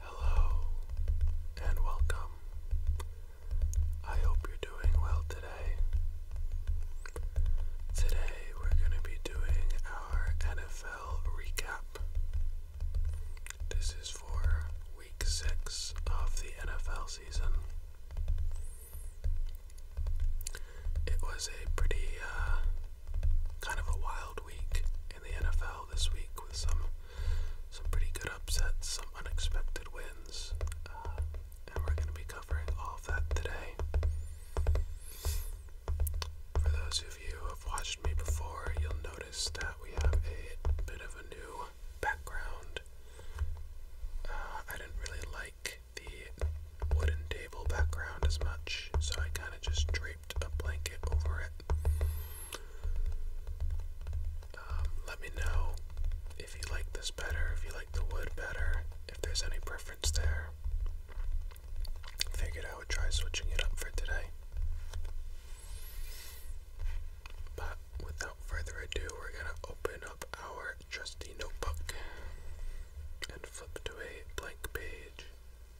Hello and welcome. I hope you're doing well today. Today we're going to be doing our NFL recap. This is for week 6 of the NFL season. It was a pretty uh, kind of a wild week in the NFL this week with some some pretty good upsets, some unexpected wins, uh, and we're going to be covering all of that today. For those of you who have watched me before, you'll notice that we have a bit of a new background. Uh, I didn't really like the wooden table background as much, so I kind of just drew a blanket over it. Um, let me know if you like this better, if you like the wood better, if there's any preference there. Figured I would try switching it up for today. But without further ado, we're gonna open up our trusty notebook and flip to a blank page.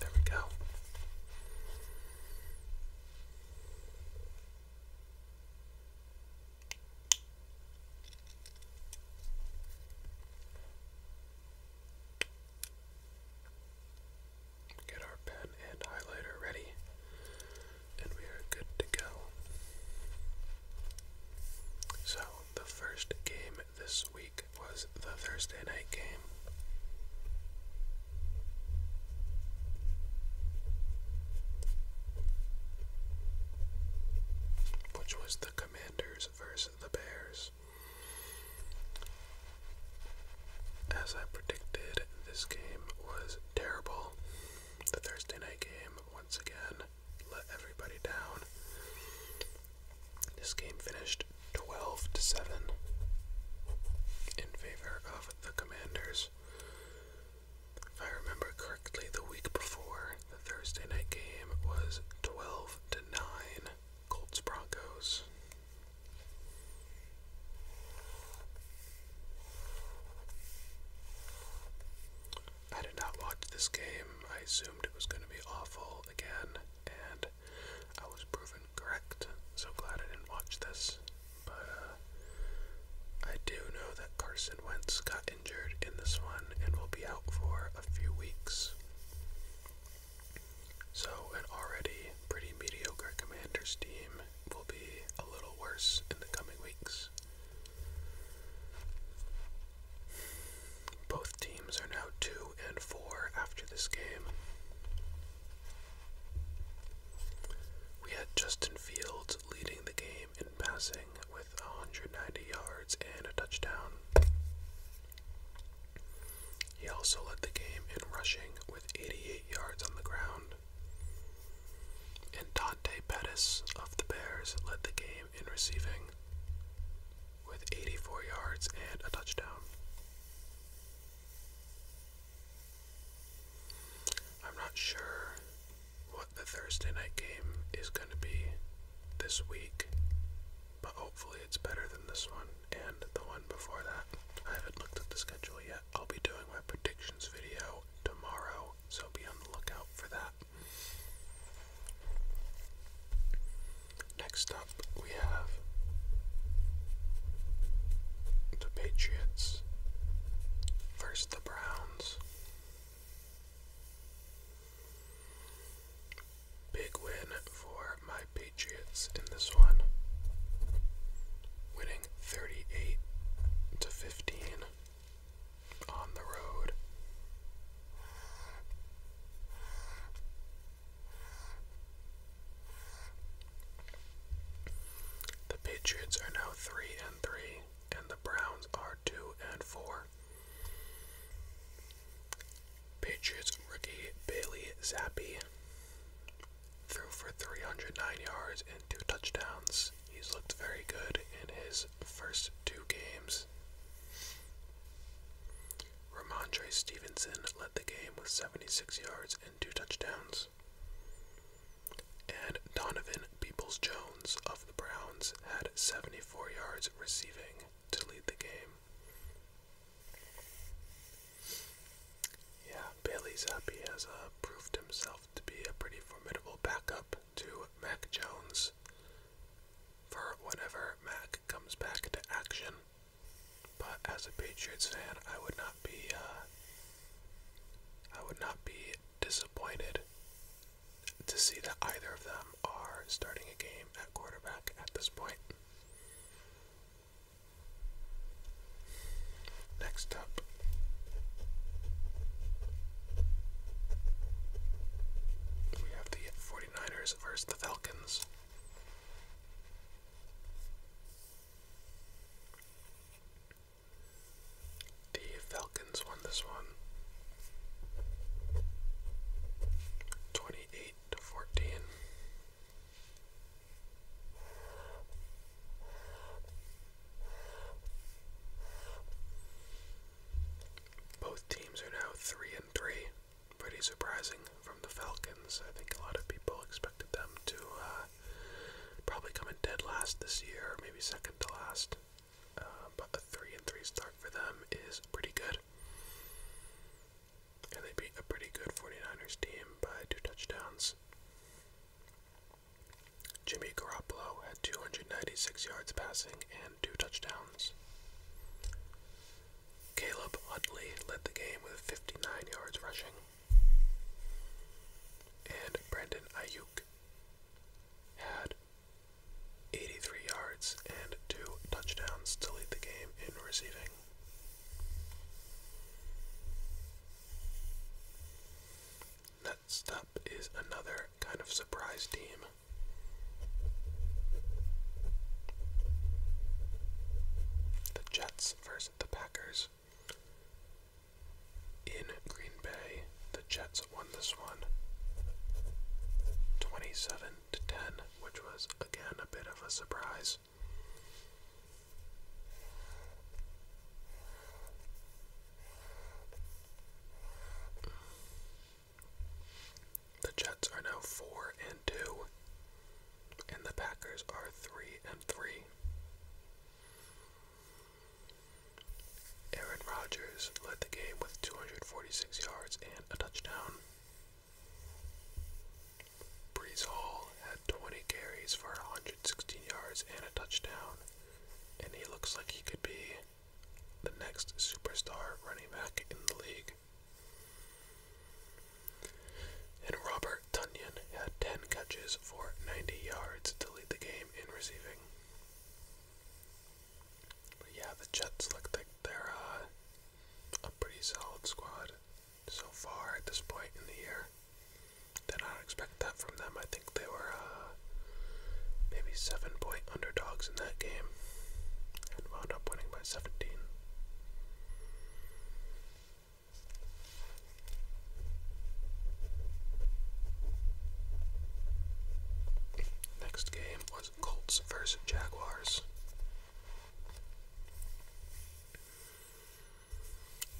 There we go. Get our pen and highlighter ready, and we are good to go. So, the first game this week was the Thursday night game. Which was the Commanders versus the Bears. As I predicted, this game was terrible. The Thursday night game, once again, let everybody down. This game finished 12 to 7 in favor of the Commanders. If I remember correctly, the week before the Thursday night game was 12 to 9 Colts Broncos. I did not watch this game. I assumed it was going to be awful again and I was proven correct. So glad I didn't watch this. But uh, I do know that Carson Wentz got injured in this one and will be out for a few weeks. So, an already pretty mediocre Commanders team will be a little worse in the coming weeks. Both teams are now 2 and 4 after this game. We had Justin Fields leading the game in passing with 190 yards and a touchdown. He also led the game in rushing with 88 yards on the ground. And Dante Pettis of the Bears led the game in receiving with 84 yards and a touchdown. I'm not sure what the Thursday night game is going to be this week, but hopefully it's better than this one and the one before that. I haven't looked at the schedule yet. I'll be doing my predictions video tomorrow, so be on the lookout for that. Next up, we have the Patriots versus the Browns. Big win for my Patriots in this one. Winning 38 to 15 on the road the Patriots are now 3 and 3 and the Browns are 2 and 4. Patriots rookie Bailey Zappi threw for 309 yards and two touchdowns. He's looked very good in his first two games. Ramondre Stevenson led the game with 76 yards and two touchdowns. And Donovan Peoples Jones of the Browns had 74 yards receiving to lead the game. Yeah, Bailey Zappi has uh, proved himself to be a pretty formidable backup to Mac Jones for whenever Mac comes back to action. But as a Patriots fan, I would not be uh, I would not be disappointed to see that either of them are starting a game at quarterback at this point. Next up. We have the 49ers the Falcons. The Falcons won this one 28 to 14. Both teams are now 3 and 3 pretty surprising from the Falcons. I think a lot of people expected them to uh, probably come in dead last this year, maybe second to last. Uh, but a three and three start for them is pretty good. And they beat a pretty good 49ers team by two touchdowns. Jimmy Garoppolo had 296 yards passing and two touchdowns. Caleb Utley led the game with 59 yards rushing. And Brandon Ayuk had 83 yards and two touchdowns to lead the game in receiving. Next is another kind of surprise team. The Jets versus the Packers. In Green Bay, the Jets won this one 27 to 10, which was again a bit of a surprise. The Jets are now 4 and 2, and the Packers are 3 and 3. Aaron Rodgers led the game with 246 yards and a touchdown. Brees Hall had 20 carries for 116 yards and a touchdown, and he looks like he could be the next superstar running back in the league. And Robert Tunyon had 10 catches for 90 yards to lead the game in receiving. yeah, the Jets look like they're uh, a pretty solid squad so far at this point in the year. Did not expect that from them. I think they were uh, maybe seven point underdogs in that game and wound up winning by 17. Next game was Colts versus Jaguars.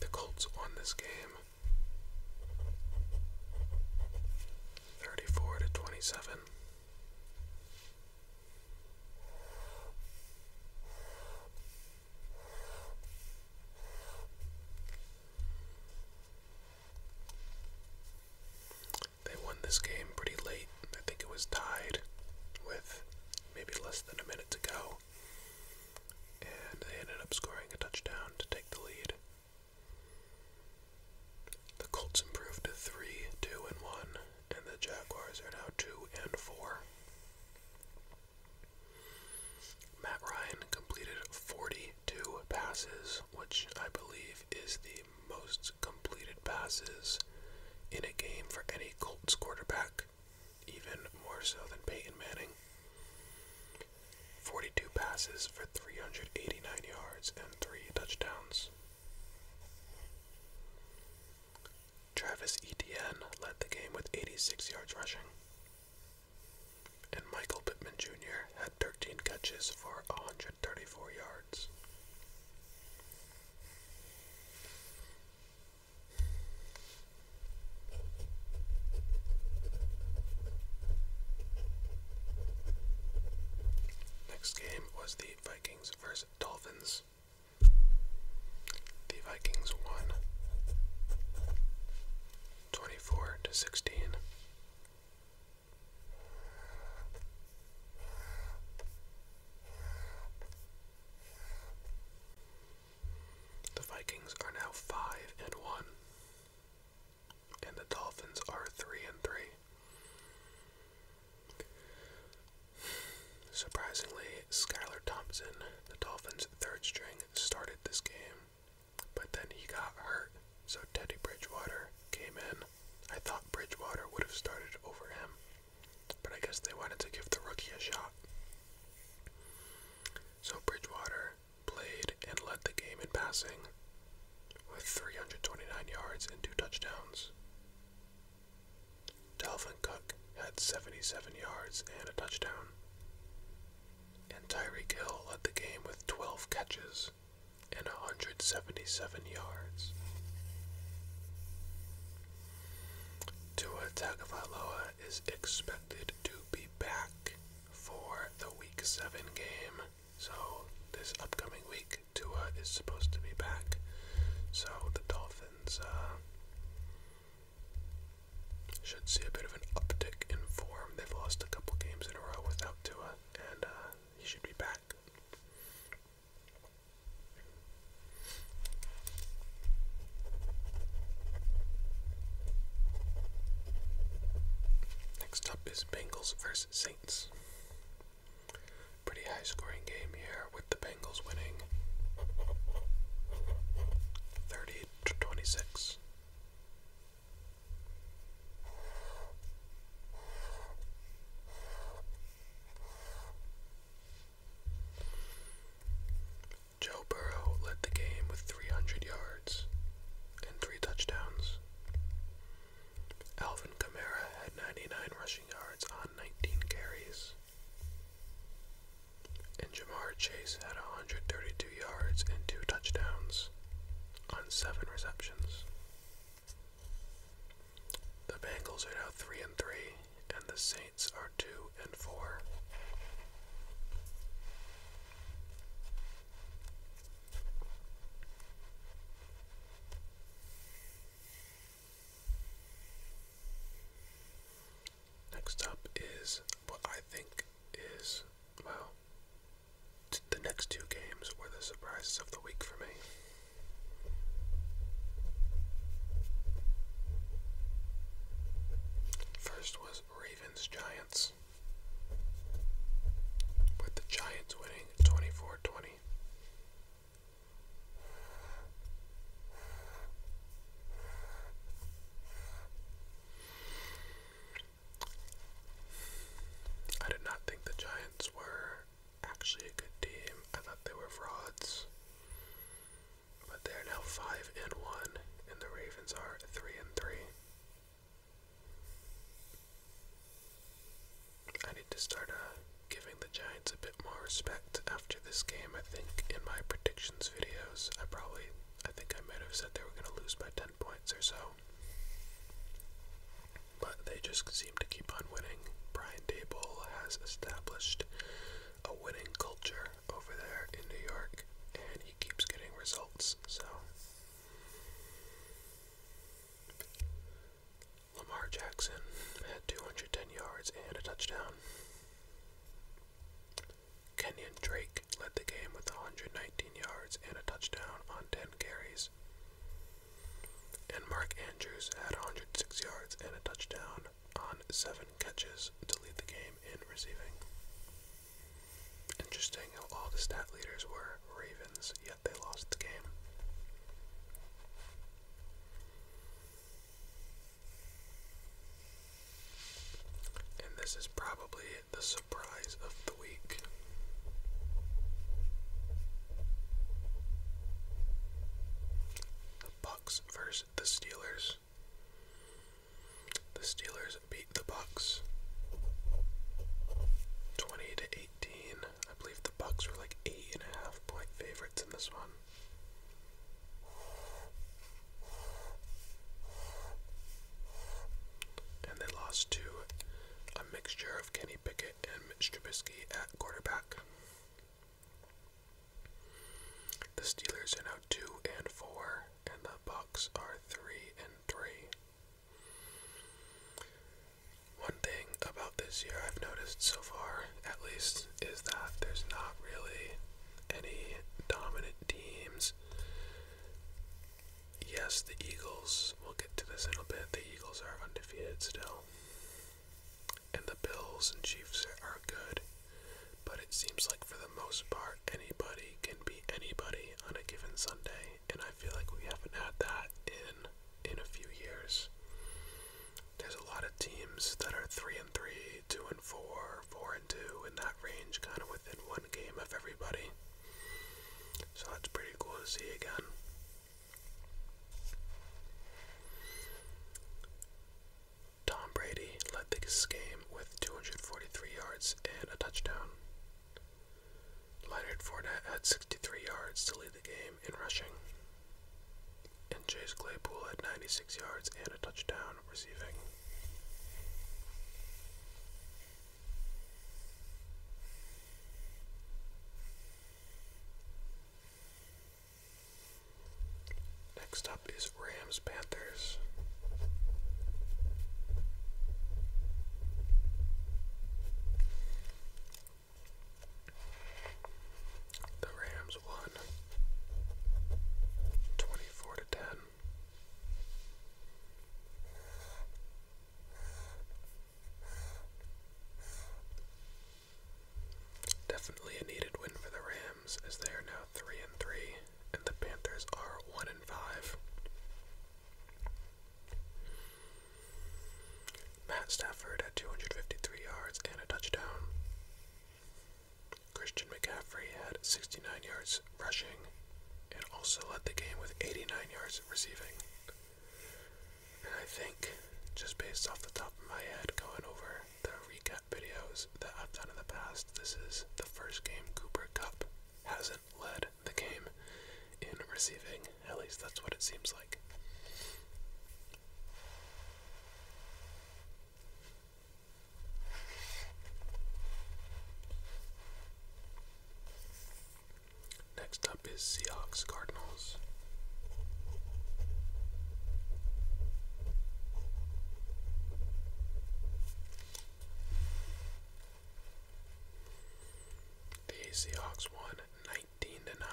The Colts won this game 34 to 27. They won this game pretty late. I think it was tied with maybe less than a minute to go. And they ended up scoring a touchdown to take the lead. The Colts improved to 3 2 and 1, and the Jaguars are now 2 and 4. Matt Ryan completed 42 passes, which I believe is the most completed passes in a game for any Colts quarterback, even more so than Peyton Manning. 42 passes for 389 yards and 3 touchdowns. Travis Etienne led the game with 86 yards rushing, and Michael Pittman Jr. had 13 catches for 134 yards. Next game was the Vikings versus Dolphins. The Vikings won 24 to 16. The Vikings are now 5 and 1 and the Dolphins are three and three. Surprisingly, Skylar Thompson, the Dolphins' third string, started this game, but then he got hurt, so Teddy Bridgewater came in. I thought Bridgewater would have started over him, but I guess they wanted to give the rookie a shot. So Bridgewater played and led the game in passing with 329 yards and two touchdowns. Dalvin Cook had 77 yards and a touchdown. And Tyreek Hill led the game with 12 catches and 177 yards. Tua Tagovailoa is expected to be back for the Week 7 game. So this upcoming week, Tua is supposed to be back. So the Dolphins uh, should see a bit of an uptick in form. They've lost a couple games in a row without Tua, and uh, he should be back. Next up is Bengals versus Saints. Pretty high scoring game here with the Bengals winning 30 to 26. Joe Burrow led the game with 300 yards and three touchdowns. Alvin Kamara had 99 rushing yards on 19 carries. And Jamar Chase had 132 yards and two touchdowns on seven receptions. The Bengals are now 3 and 3 and the Saints are 2 and 4. Next up is what I think is, well, the next two games were the surprises of the week for me. First was Ravens Giants, with the Giants winning 24 20. I did not think the Giants were actually a good team. I thought they were frauds. But they are now 5 and 1, and the Ravens are 3 and 3. I need to start uh, giving the Giants a bit more respect after this game. I think in my predictions videos, I probably, I think I might have said they were going to lose by 10 points or so. But they just seem to keep on winning. Brian Dable has established a winning culture over there in New York, and he keeps getting results, so. Lamar Jackson had 210 yards and a touchdown. Kenyon Drake led the game with 119 yards and a touchdown on 10 carries. And Mark Andrews had 106 yards and a touchdown on 7 catches to lead the game in receiving. Interesting how all the stat leaders were Ravens, they lost the game. And this is probably the surprise of the week. The Bucks versus the Steelers. The Steelers beat the Bucks 20 to 18. I believe the Bucks were like eight and a half point favorites in this one. And they lost to a mixture of Kenny Pickett and Mitch Trubisky at quarterback. The Steelers are now two and four, and the Bucks are three and three. One thing about this year I've noticed so far, at least, is that there's not really any dominant teams. Yes, the Eagles, we'll get to this in a bit, the Eagles are undefeated still. And the Bills and Chiefs are good, but it seems like for the most part, anybody can be anybody on a given Sunday, and I feel like we haven't had that in in a few years. There's a lot of teams that are three and three, two and four, four and two in that range, kind of within one game of everybody. So that's pretty cool to see again. Tom Brady led the game with 243 yards and a touchdown. Leonard Fournette had 63 yards to lead the game in rushing, and Chase Claypool had 96 yards and a touchdown receiving. Next up is Rams Panthers. The Rams won 24 to 10. Definitely a needed win for the Rams as they are now 3 and 3 and the Panthers are 1 and 5. Matt Stafford had 253 yards and a touchdown. Christian McCaffrey had 69 yards rushing and also led the game with 89 yards receiving. And I think, just based off the top of my head, going over the recap videos that I've done in the past, this is the first game Cooper Cup has an led the game in receiving. At least that's what it seems like. Next up is Seahawks Cardinals. The Seahawks won 19 to 9.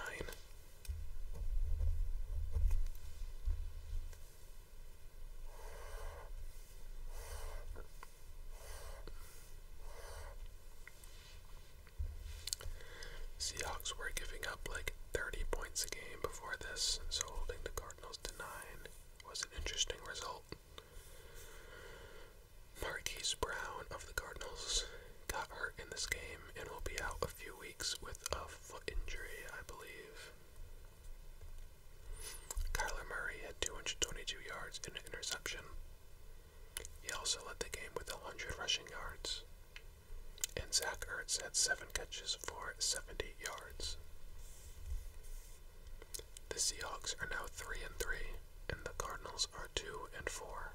Seahawks were giving up like 30 points a game before this, so holding the Cardinals to 9 was an interesting result. Marquise Brown of the Cardinals got hurt in this game and will be out a few weeks with a foot injury, I believe. Kyler Murray had 222 yards and an interception. He also led the game with 100 rushing yards. And Zach Ertz had 7 catches for 70 yards. The Seahawks are now 3 and 3 and the Cardinals are 2 and 4.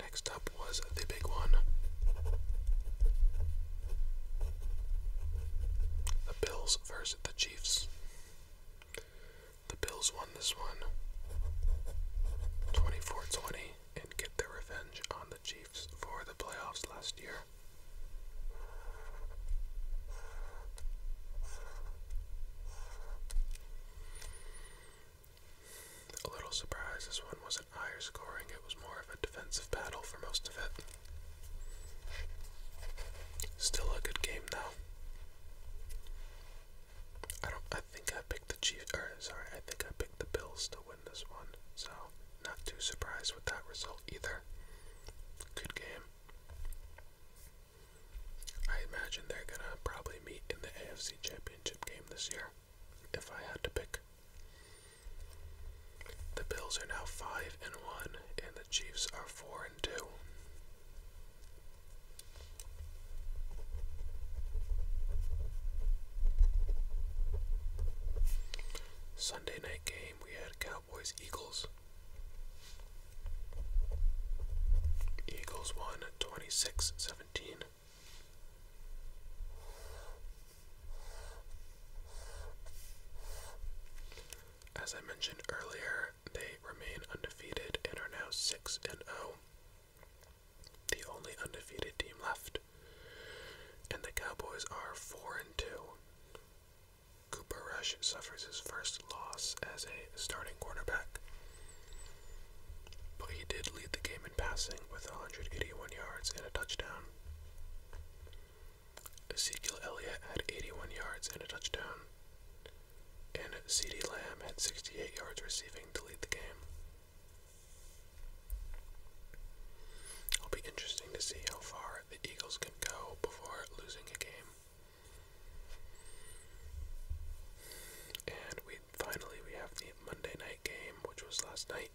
Next up was the big one. The Bills versus the Chiefs. The Bills won this one 24 20 and get their revenge on the Chiefs for the playoffs last year. A little surprise, this one wasn't higher scoring, it was more of a defensive battle for most of it. Still a good game though. I don't I think I picked the Chiefs or er, sorry, I think I picked the Bills to win this one, so not too surprised with that result either. Good game. I imagine they're gonna probably meet in the AFC Championship game this year, if I had to pick. The Bills are now five and one, and the Chiefs are four and two. Sunday night game, we had Eagles. Eagles won As I mentioned earlier, they remain undefeated and are now 6 and 0. The only undefeated team left. And the Cowboys are 4 and 2. Cooper Rush suffers his first loss as a starting quarterback. But he did lead the game in passing with 181 yards and a touchdown. Ezekiel Elliott had 81 yards and a touchdown. And C.D. Lamb had 68 yards receiving to lead the game. It'll be interesting to see how far the Eagles can go before losing a game. And we finally we have the Monday night game, which was last night.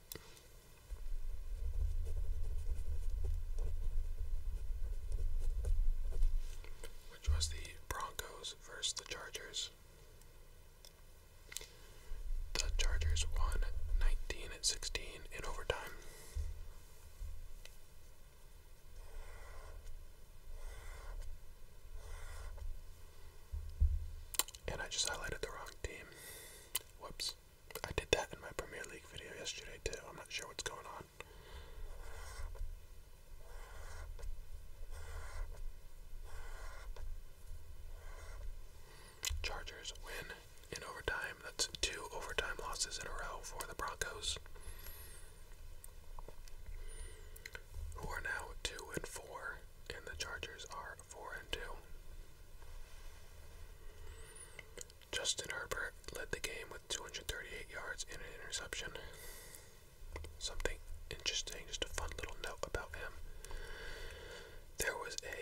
Which was the Broncos versus the Chargers. The Chargers won 19 at 16 in overtime. And I just highlighted the wrong team. Whoops. I did that in my Premier League video yesterday too. I'm not sure what's going on. Chargers win in overtime. That's two overtime losses in a row for the Broncos, who are now two and four, and the Chargers are four and two. Justin Herbert led the game with 238 yards and an interception. Something interesting, just a fun little note about him. There was a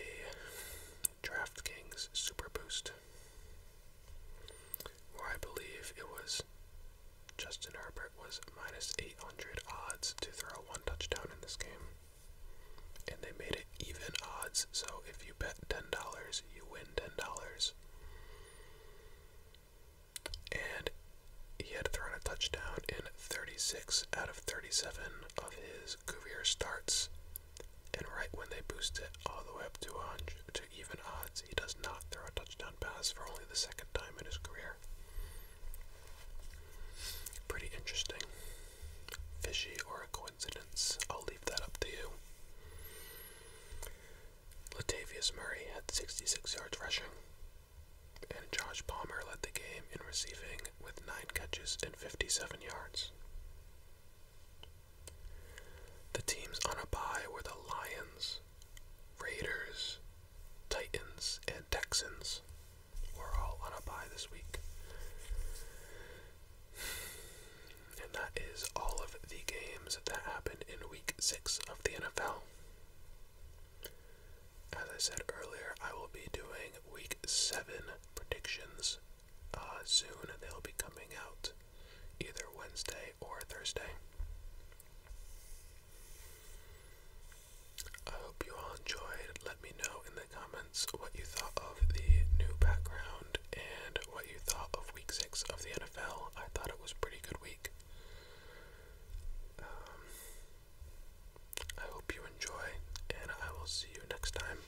DraftKings Super Boost, where I believe it was Justin Herbert was minus 800 odds to throw one touchdown in this game. And they made it even odds, so if you bet $10, you win $10. And he had thrown a touchdown in 36 out of 37 of his career starts and right when they boost it all the way up to 100 to even odds, he does not throw a touchdown pass for only the second time in his career. Pretty interesting. Fishy or a coincidence? I'll leave that up to you. Latavius Murray had 66 yards rushing, and Josh Palmer led the game in receiving with 9 catches and 57 yards. The teams on a bye were the Lions, Raiders, Titans, and Texans. were all on a bye this week. And that is all of the games that happened in week six of the NFL. As I said earlier, I will be doing week seven predictions uh, soon. They'll be coming out either Wednesday or Thursday. I hope you all enjoyed. Let me know in the comments what you thought of the new background and what you thought of week six of the NFL. I thought it was pretty good week. Um, I hope you enjoy, and I will see you next time.